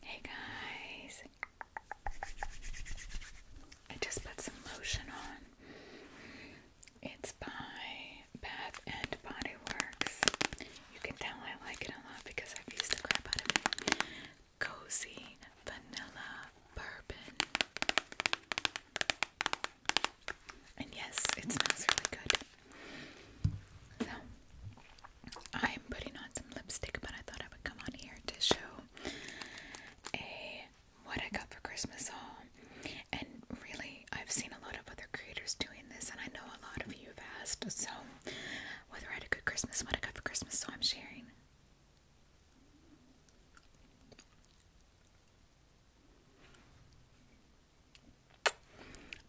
Hey guys, I just put some lotion on. It's by Bath and Body Works. You can tell I like it a lot because I've used the crap out of it. Cozy vanilla bourbon. And yes, it smells really good. So I'm putting on some lipstick, but I thought I would come on here to show a what I got for Christmas haul. And really, I've seen a lot of other creators doing this, and I know a lot of you have asked. So, whether I had a good Christmas, what I got for Christmas, so I'm sharing.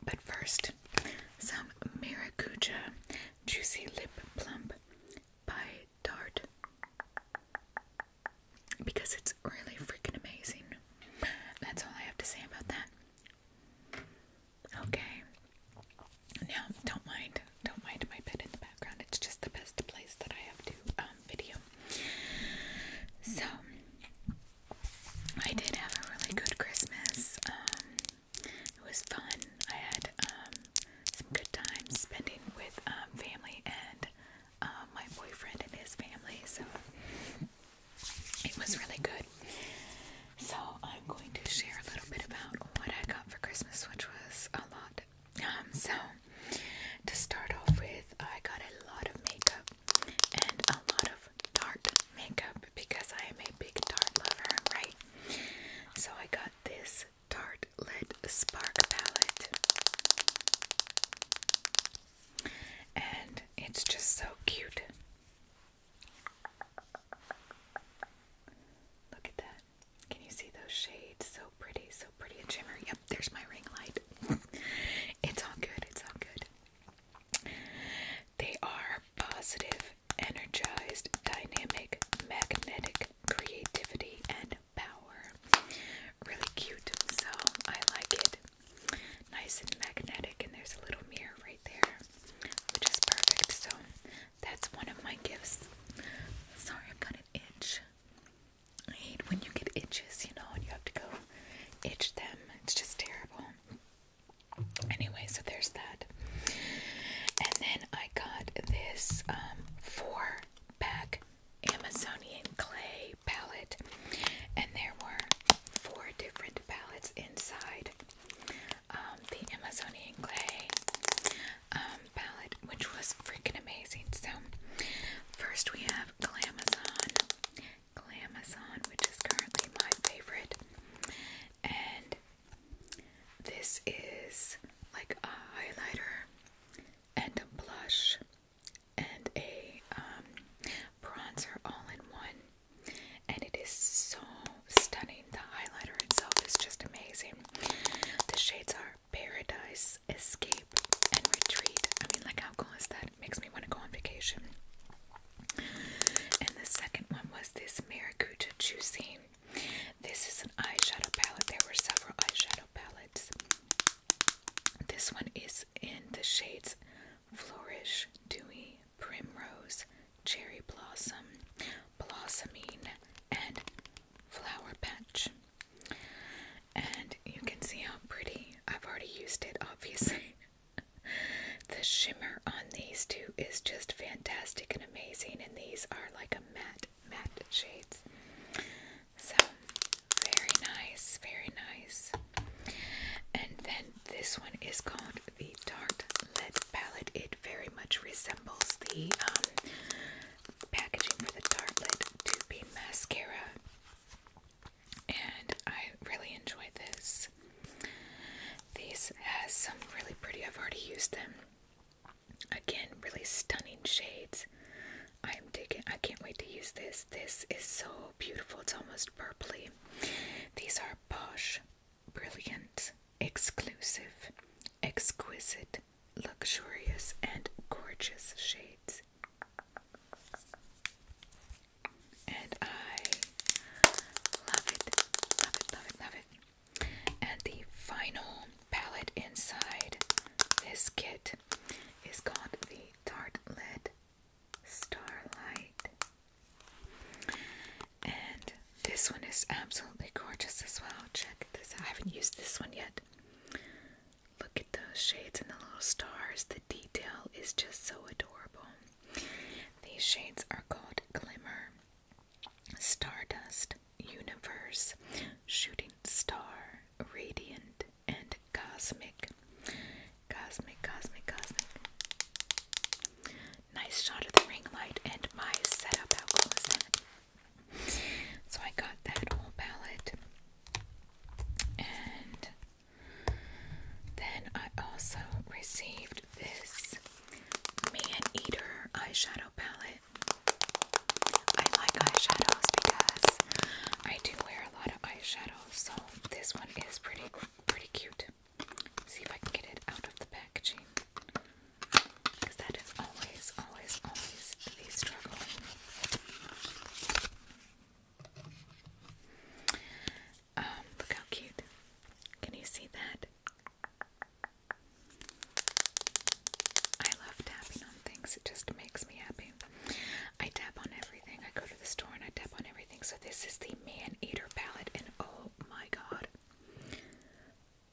But first, some maracuja Juicy Lip Plump by Dart because it's really freaking amazing. That's all I have to say about that. Okay. Now, don't mind, don't mind my bed in the background. It's just the best place that I have to um, video. So, I did have a really good Christmas. Um, it was fun. I had um, some good times spending with um, family and um, my boyfriend and his family, so it was really good. So I'm going to share a little bit about what I got for Christmas, which was a lot. so to start off with, I got a lot of makeup and a lot of love Tarte makeup because I am a big Tarte lover, right? So I got this Tarte Lid Spark Palette. And it's just so cute. Look at that. Can you see those shades? So pretty, so pretty and shimmer. Yep, there's my ring light. it's all good, it's all good. They are positive energized, dynamic, magnetic, creativity, and power. Really cute, so I like it. Nice and magnetic, and there's a little mirror right there, which is perfect. So that's one of my gifts. Sorry, i am getting itchy. I hate when you get itches, you know, and you have to go itch them. It's just terrible. Anyway, so there's that. And then I got this um, four pack Amazonian clay palette, and there were four different palettes inside um, the Amazonian clay um, palette, which was freaking amazing. So, first we have Glamazon. Glamazon, which is currently my favorite and this is like a highlighter and a blush and a um, bronzer all in one and it is so stunning the highlighter itself is just amazing the shades are paradise escape and retreat i mean like how cool is that makes me want to go on vacation and the second one was this Maracuja Juicy. This is an eyeshadow palette. There were several eyeshadow palettes. This one is in the shades Flourish, Dewy, Primrose, Cherry Blossom, Blossoming, and Flower Patch. And you can see how pretty. I've already used it, obviously the shimmer on these two is just fantastic and amazing, and these are like a matte, matte shades. So, very nice, very nice. And then this one is called the Tarte Lid Palette. It very much resembles the um, packaging for the Tarte Lid to be mascara. And I really enjoy this. These are some really pretty, I've already used them. Again, really stunning shades. I'm digging, I can't wait to use this. This is so beautiful, it's almost purply. These are posh, brilliant, exclusive, exquisite, luxurious, and gorgeous shades and I love it, love it, love it, love it. And the final palette inside this kit is called the Tartlet Starlight. And this one is absolutely gorgeous as well. Check this I haven't used this one yet. Look at those shades and the little stars detail is just so adorable. These shades are called Glimmer, Stardust, Universe, Shooting Star, Radiant, and Cosmic. Cosmic, cosmic, cosmic. Nice shot of the ring light and my setup. So I got that whole palette and then I also received this Man Eater eyeshadow palette. I like eyeshadows because I do wear a lot of eyeshadows, so this one is pretty pretty cute. see if I can get it out of the packaging. Because that is always, always, always the struggle. Um, look how cute. Can you see that? I love tapping on things, it just makes me happy. I tap on everything. I go to the store and I tap on everything. So, this is the Man Eater palette, and oh my god.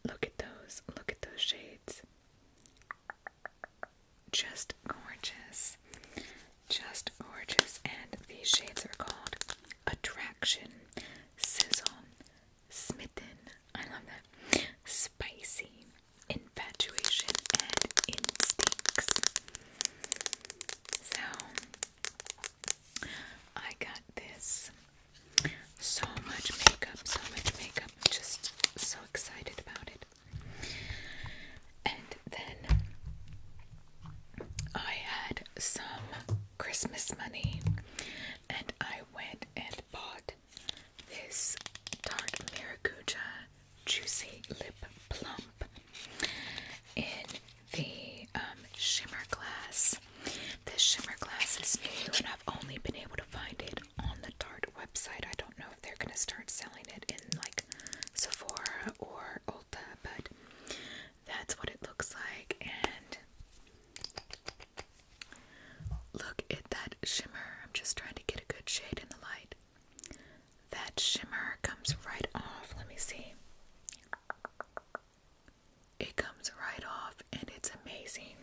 Look at those. Look at those shades. Just gorgeous. Just gorgeous. And these shades are called Attraction, Sizzle, Smitten. I love that. Spicy, Infatuation, and Instincts. So, I got this. So much makeup, so much makeup. I'm just so excited about it then I had some Christmas money and I went and bought this Tarte Maracuja Juicy Lip Plump in the um, shimmer glass. This shimmer glass is new and I've only been able to find it on the Tarte website. I don't know if they're going to start selling it in like Sephora or Ulta, but that's what it looks like. And look at that shimmer. I'm just trying to get a good shade in the light. That shimmer comes right off. Let me see. It comes right off and it's amazing.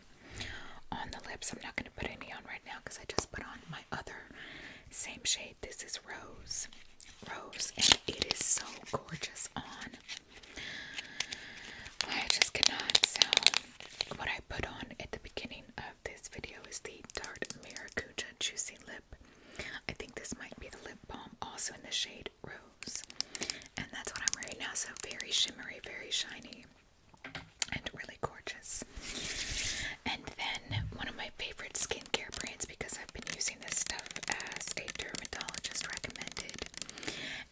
On the lips, I'm not going to put any on right now because I just put on my other same shade. This is Rose rose and it is so gorgeous on. I just cannot. So what I put on at the beginning of this video is the Tarte Maracuja Juicy Lip. I think this might be the lip balm also in the shade Rose. And that's what I'm wearing now. So very shimmery, very shiny, and really gorgeous. And then one of my favorite skincare brands because I've been using this stuff as a dermatologist recommended.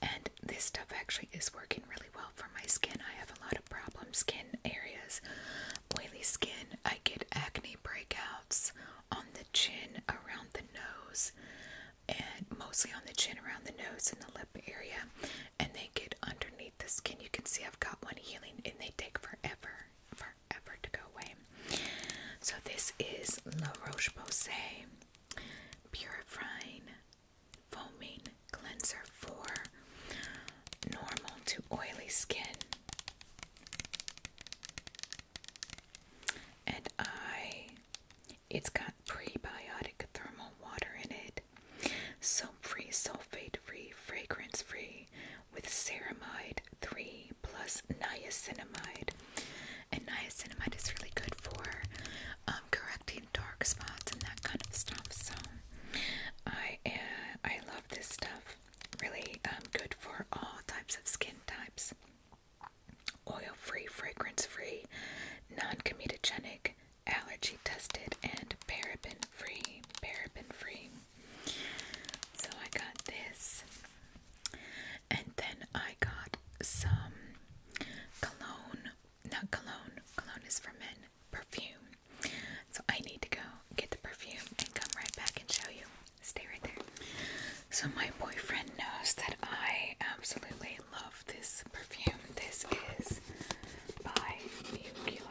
And this stuff actually is working really well for my skin. I have a lot of problem skin areas. Oily skin, I get acne breakouts on the chin, around the nose, and mostly on the chin, around the nose, and the lip area. And they get underneath the skin. You can see I've got one healing, and they take forever forever to go away. So this is La Roche-Posay Purifying Foaming Cleanser for normal to oily skin. And I it's got prebiotic thermal water in it. So free, sulfate free, fragrance free, with ceramide 3 plus niacinamide. And niacinamide is really good for um, correcting dark spots and that kind of stuff. So I uh, I love this stuff. Really um, good for all types of skin types. Oil free, fragrance free, non comedogenic, allergy tested, and paraben free. Paraben free. So I got this, and then I got some cologne. Not cologne, cologne is for men, perfume. So I need to go get the perfume and come right back and show you. Stay right there. So, my boyfriend knows that I absolutely love this perfume. This is by Nuclear.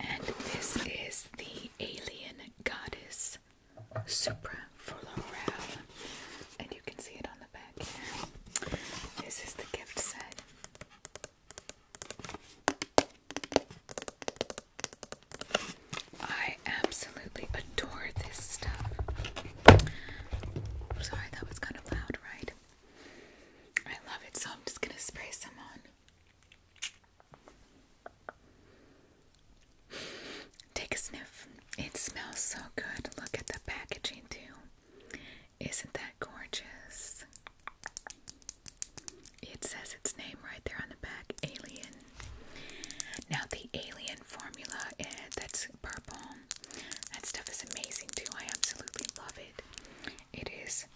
And this is the alien goddess Supra for And you can see it on the back This is the gift set. I absolutely adore this stuff. sorry, that was kind of loud, right? I love it, so I'm just gonna spray some on. Take a sniff. It smells so good. Look at the packaging, too. Isn't that gorgeous? It says its name right there on the back Alien now the alien formula eh, that's purple. That stuff is amazing too. I absolutely love it. It is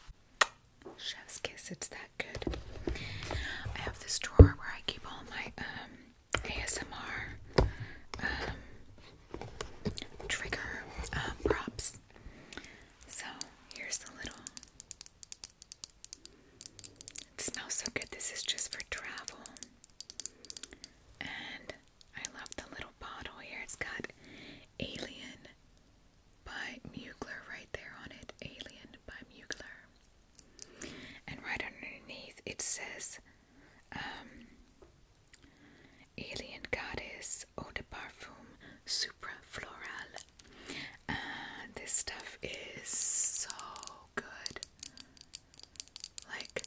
chef's kiss. It's that good. I have this drawer where I keep all my um, ASMR um, trigger um, props. So here's the little it smells so good. This is just for travel. And I love the little bottle here. It's got Alien by Mugler right there on it. Alien by Mugler. And right underneath it says um, Alien Goddess Eau de Parfum Supra Floral. Uh, this stuff is so good. Like,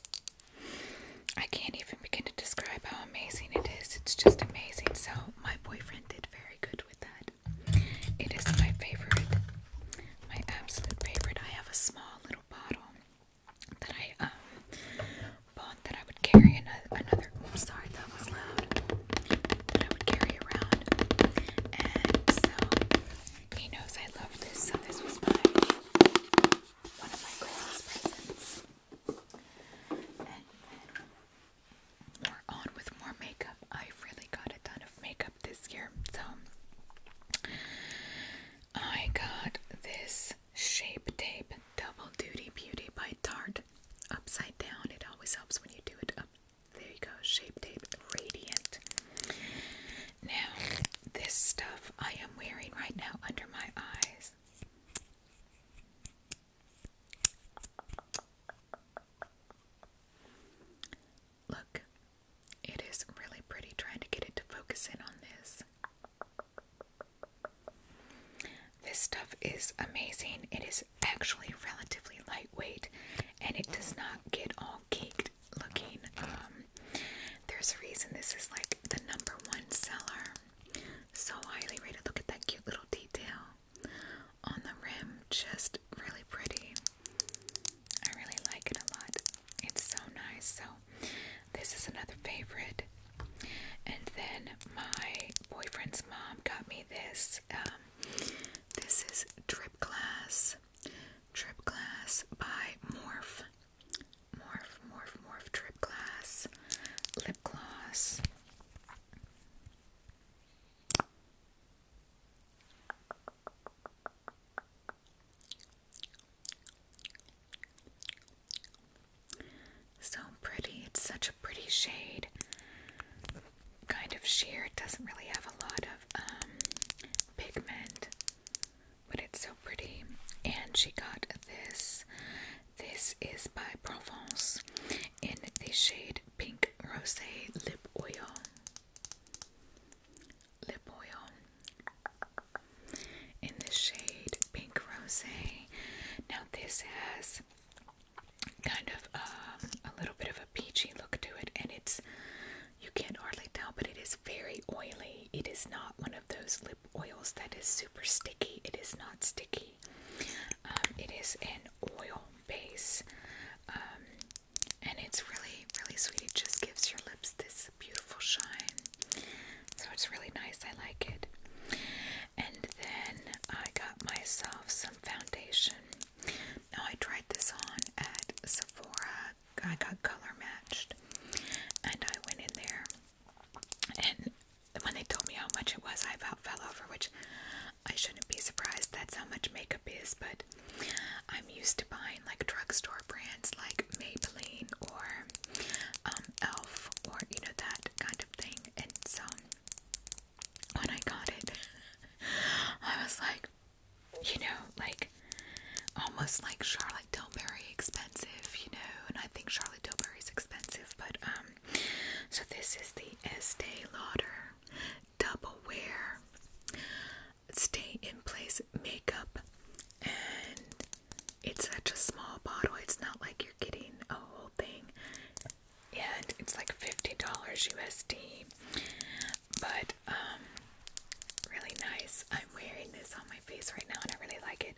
I can't even begin to describe how amazing it is. It's just amazing. So, my boyfriend did very good with that. It is my favorite, my absolute favorite. I have a small little bottle that I um bought that I would carry another. I'm sorry, that was loud. That I would carry around, and so he knows I love this, so this was my one of my Christmas presents. And we're on with more makeup. I've really got a ton of makeup this year, so I got this shape tape double duty beauty by Tarte upside down. It always helps when you do it up there you go, Shape Tape Radiant. Now, this stuff I am wearing right now under my eyes. Look, it is really pretty trying to get it to focus in on this. This stuff is amazing. It is actually relatively lightweight and it does not get all caked looking. Um, there's a reason this is like the number one seller. So highly rated. Look at that cute little detail on the rim. Just really pretty. I really like it a lot. It's so nice. So this is another favorite. And then my boyfriend's mom got me this. Um, this is drip glass Trip Glass by Morph. Morph, Morph, Morph Trip Glass. Lip Gloss. So pretty. It's such a pretty shade kind of sheer. It doesn't really have a lot of um, pigment, but it's so pretty. And she got this. This is by Provence in the shade Pink Rose Lip Oil. Lip oil in the shade Pink Rose. Now, this has kind of um, a little bit of a peachy look to it, and it's you can't hardly tell, but it is very oily. It is not one of those lip oils that is super sticky. It is not sticky. Um, it is an oil base, um, and it's really, really sweet. It just gives your lips this beautiful shine. So it's really nice. I like it. And then I got myself some foundation. Now I tried this on at Sephora. I got color matched, and I went in there, and when they told me how much it was, I about fell over, which I shouldn't be surprised. That's how much makeup is, but I'm used to buying like drugstore brands like Maybelline or um, Elf or you know that kind of thing, and so when I got it, I was like, you know, like almost like Charlotte Tilbury expensive, you know, and I think Charlotte is expensive, but um so this is the Estee Lauder Double Wear Stay in Place Makeup and it's such a small bottle, it's not like you're getting a whole thing. And it's like $50 USD. But um, really nice. I'm wearing this on my face right now and I really like it.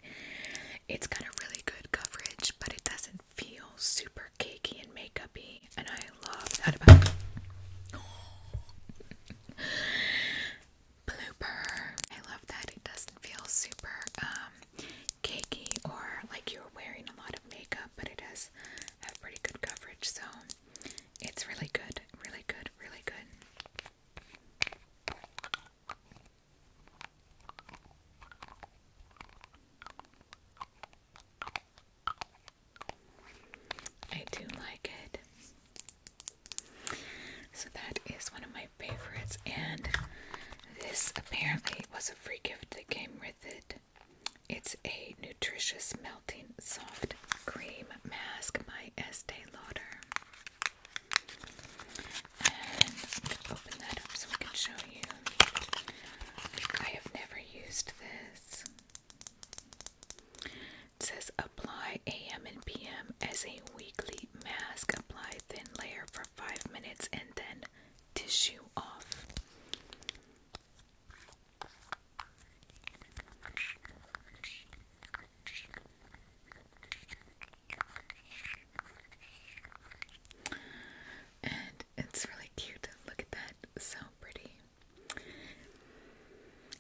It's got a really good coverage, but it doesn't feel super cakey and makeupy, and I love that it. I love that it doesn't feel super um cakey or like you're wearing a lot of makeup, but it does have pretty good coverage, so it's really good, really good, really good. I do like it. So that is one of my favorites, and this apparently was a free gift that came with it. It's a nutritious melting soft cream mask by Estee Lauder. And open that up so I can show you. I have never used this. It says apply AM and PM as a weekly mask. Apply thin layer for five minutes and then tissue off. And it's really cute. Look at that. So pretty.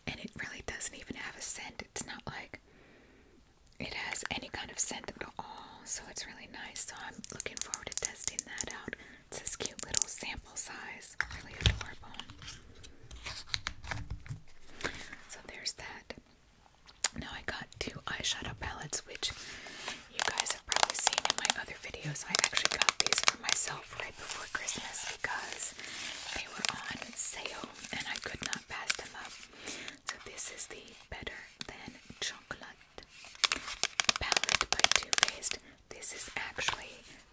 And it really doesn't even have a scent. It's not like it has any kind of scent at all. So it's really nice. So I'm looking forward to testing that out. It's this cute little sample size. Really adorable. So there's that. Now I got two eyeshadow palettes, which you guys have probably seen in my other videos. I actually got these for myself right before Christmas because they were on sale and I could not pass them up. So this is the Better Than Chocolate palette. by Too Faced. This is actually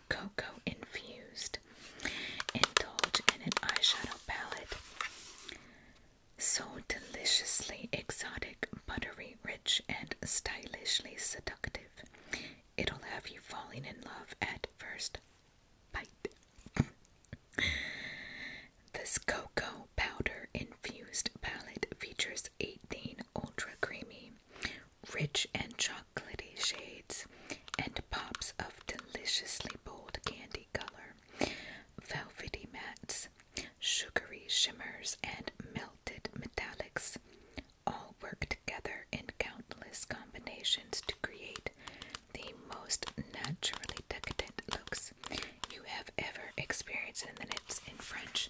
cocoa infused. Indulge in an eyeshadow palette. So deliciously exotic, buttery, rich, and stylishly seductive. It'll have you falling in love at first bite. this cocoa powder infused palette features 18 ultra creamy, rich and chocolaty shades, and pops of deliciously bold candy color, velvety mattes, sugary shimmers, and melted metallics all work together in countless combinations to create the most naturally decadent looks you have ever experienced. And then it's French,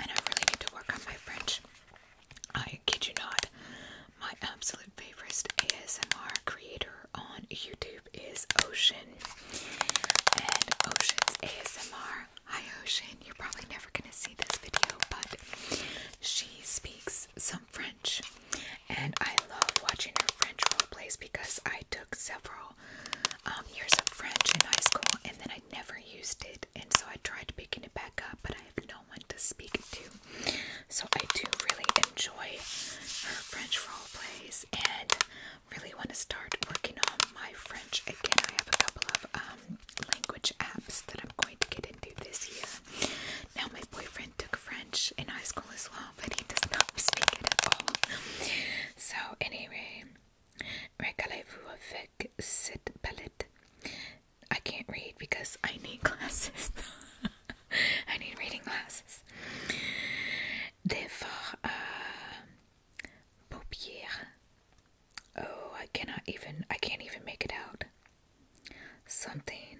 and I really need to work on my French. I kid you not, my absolute favorite ASMR creator on YouTube is Ocean, and Ocean's ASMR. Hi Ocean, you're probably never gonna see this video, but she speaks some French, and I love watching her French role plays because I took several um, years of French in high school, and then I. I never used it, and so I tried picking it back up, but I have no one to speak to. So I do really enjoy her French role plays, and really want to start working on my French again. I have a couple of um, language apps that I'm going to get into this year. Now my boyfriend took French in high school as well, but he does not speak it at all. So anyway. Régalez-vous avec cette palette. I can't read because I need glasses. I need reading glasses. They for uh, paupières. Oh, I cannot even. I can't even make it out. Something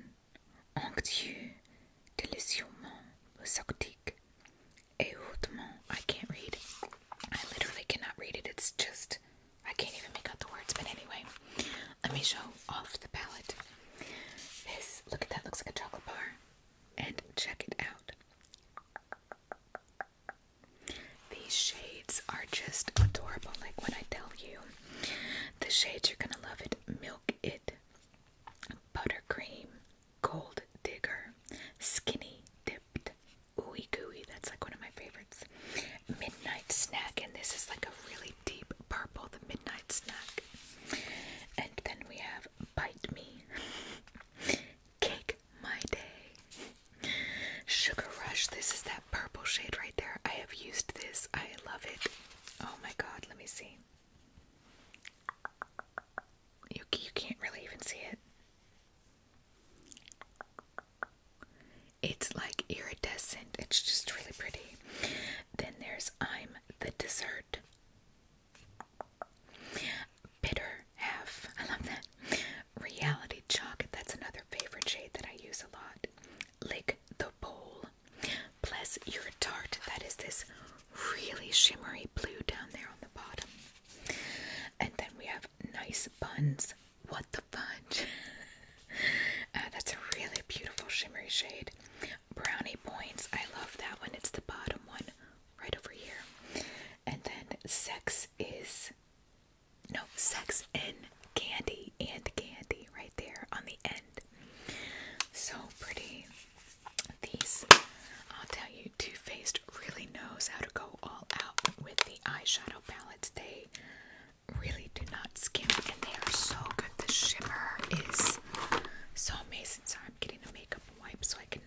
onctueux, délicieusement exotique et hautement I can't read. I literally cannot read it. It's just, I can't even make out the words. But anyway, let me show off the palette. This, look at that, looks like a chocolate bar. And check it out. These shades are just adorable. Like when I tell you, the shades you're gonna love it. Milk it, buttercream, gold digger, skinny dip dipped ooey That's like one of my favorites. Midnight snack, and this is like a really deep purple, the midnight snack. And then we have Bite Me, Cake My Day, Sugar Rush. This is that purple shade right there. I have used this, I love it. Oh my god, let me see. You, you can't really even see it. It's like iridescent. It's just really pretty. Then there's I'm the Dessert. Bitter Half. I love that. Reality chocolate. That's another favorite shade that I use a lot. Like the Bowl. Bless Your Tart. That is this really shimmery blue down there on the bottom. And then we have nice buns. What the fudge? Uh, that's a really beautiful shimmery shade. Brownie points. I love that one. It's the bottom one right over here. And then sex is no sex and candy and candy right there on the end. So pretty. These I'll tell you, Too Faced really knows how to go all out with the eyeshadow palettes. They really do not skimp, and they are so good. The shimmer is so amazing. Sorry, I'm getting a makeup wipe so I can.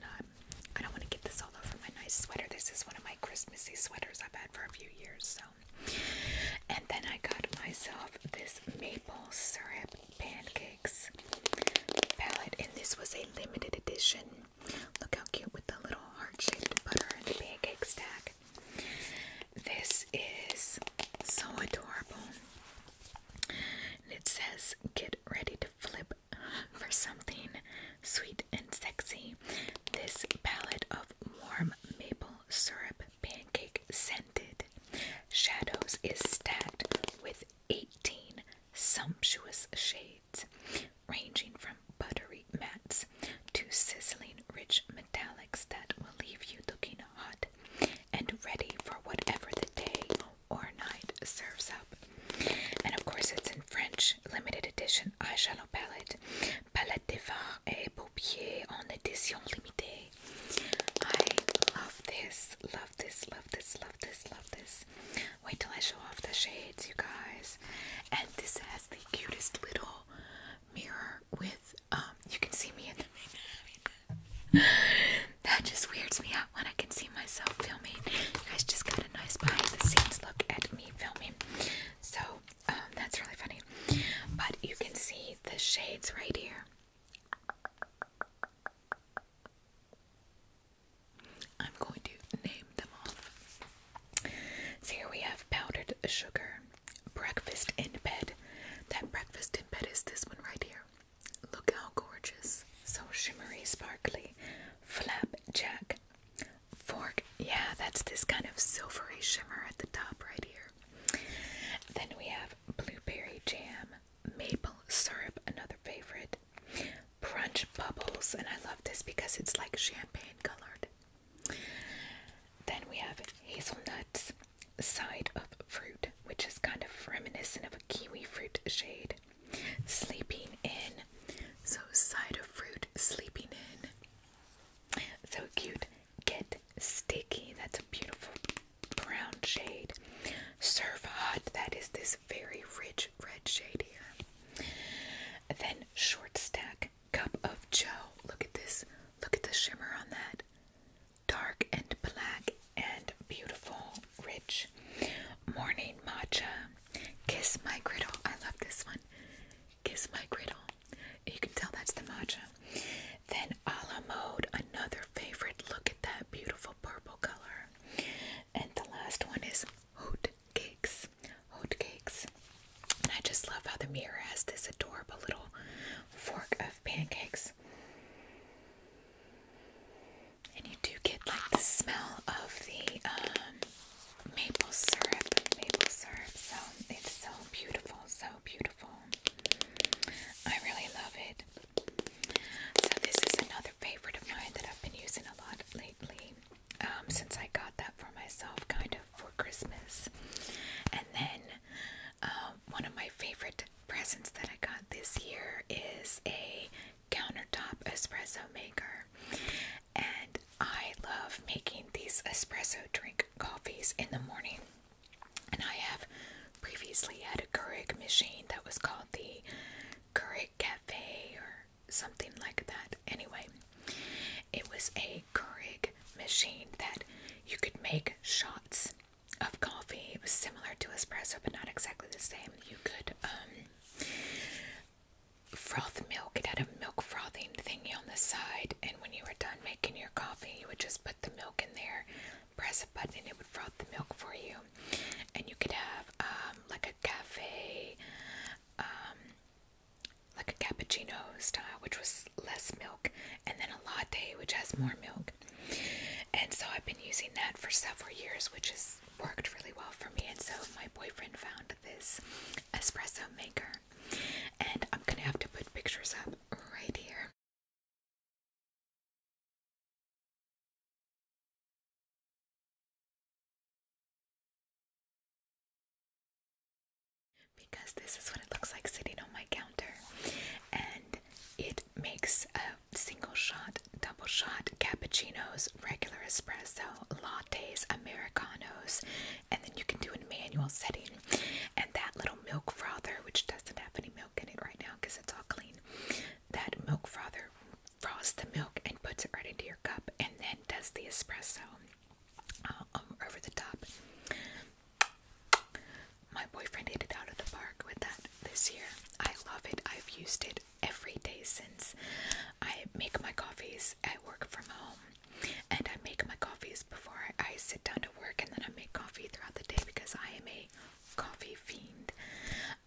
I don't want to get this all over my nice sweater. This is one of my Christmassy sweaters I've had for a few years. So, and then I got myself this maple syrup pancakes palette, and this was a limited edition Look how cute with the little heart-shaped butter and the pancake stack. This is so adorable. it says, get ready to flip for something sweet and sexy. This palette of warm maple syrup pancake scented shadows is stacked with 18 sumptuous shades, ranging from buttery mattes to sizzling rich metallics that will leave you looking hot and ready for whatever the day or night serves up. And of course, it's in French, limited edition eyeshadow palette, palette des fards et paupières en édition limitée. I love this, love this, love this, love this, love this. Wait till I show off the shades, you guys. And this has the cutest little mirror with um, you can see me in the That just weirds me out when I can see myself filming. You guys just got a nice behind the scenes look at me filming. So um, that's really funny. But you can see the shades right here. I'm going to name them off. So here we have powdered sugar, breakfast in bed. That breakfast in bed is this one right here. Look how gorgeous. So shimmery, sparkly. Flapjack. Fork. Yeah, that's this kind of silvery shimmer at the top right here. Then we have blueberry jam, maple syrup, another favorite, called Bubbles, and I love this because it's like champagne colored. Then we have hazelnuts, side of fruit, which is kind of reminiscent of a kiwi fruit shade. Sleeping in, so side of fruit, sleeping in. So cute. Get sticky, that's a beautiful brown shade. Surf hot, that is this very rich red shade here. then short stack cup of joe. Look at this. Look at the shimmer on that. Dark and black and beautiful, rich. Morning matcha. Kiss my griddle. I love this one. Kiss my griddle. You can tell that's the matcha. Then a la mode, another favorite. Look at that beautiful purple color. And the last one is Hot Cakes. And I just love how the mirror has this adorable little fork of pancakes. And you do get like the smell of the um, maple syrup, maple syrup. So it's so beautiful, so beautiful. I really love it. So this is another favorite of mine that I've been using a lot lately. Um, since I got that for myself, kind of for Christmas, and then um, one of my favorite presents that I got this year is a countertop espresso maker, and I love making these espresso drink coffees in the morning. And I have previously had a Keurig machine that was called the curry cafe or something like that. Anyway, it was a Keurig machine that you could make shots of coffee. It was similar to espresso, but not exactly the same. You could um, froth milk. It had a milk frothing thingy on the side, and when you were done making your coffee, you would just put the milk in there, press a button, and it would froth the milk for you and you could have um, like a cafe, um, like a cappuccino style, which was less milk, and then a latte, which has more milk. And so I've been using that for several years, which has worked really well for me. And so my boyfriend found this espresso maker, and I'm gonna have to put pictures up right here. Because this is what it looks like sitting on my counter, and it makes a single shot, double shot cappuccinos, regular espresso, lattes, americanos, and then you can do a manual setting. And that little milk frother, which doesn't have any milk in it right now because it's all clean, that milk frother frosts the milk and puts it right into your cup, and then does the espresso uh, um, over the top. My boyfriend hit it out of the park with that this year. I love it. I've used it every day since. I make my coffees. I work from home, and I make my coffees before I sit down to work, and then I make coffee throughout the day because I am a coffee fiend.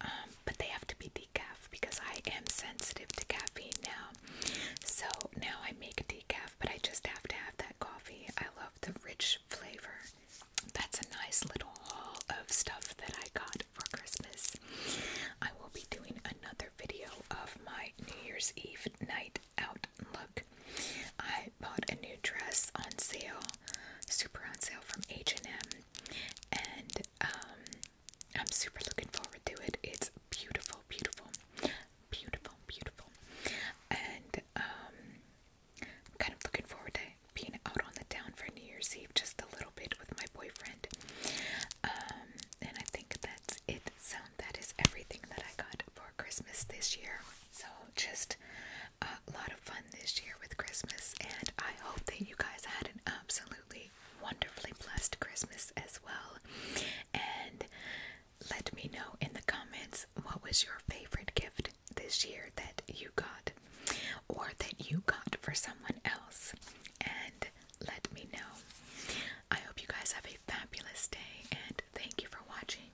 Um, but they have to be decaf because I am sensitive to caffeine now. So now I make decaf, but I just have to have that coffee. I love the rich flavor. That's a nice little haul of stuff that I got for Christmas. I will be doing another video of my New Year's Eve night out look. I bought a new dress on sale, super on sale from H&M and um, I'm super looking forward to it. It's beautiful, beautiful, beautiful, beautiful, and I'm um, kind of looking forward to being out on the town for New Year's Eve just a little bit with my boyfriend. Um, and I think that's it. So that is everything that I got for Christmas this year. So just a lot of fun this year with Christmas, and I hope that you guys had an absolutely wonderfully blessed Christmas as well. And let me know in the comments what was your favorite gift this year that you got or that you got for someone else. And let me know. I hope you guys have a fabulous day and thank you for watching.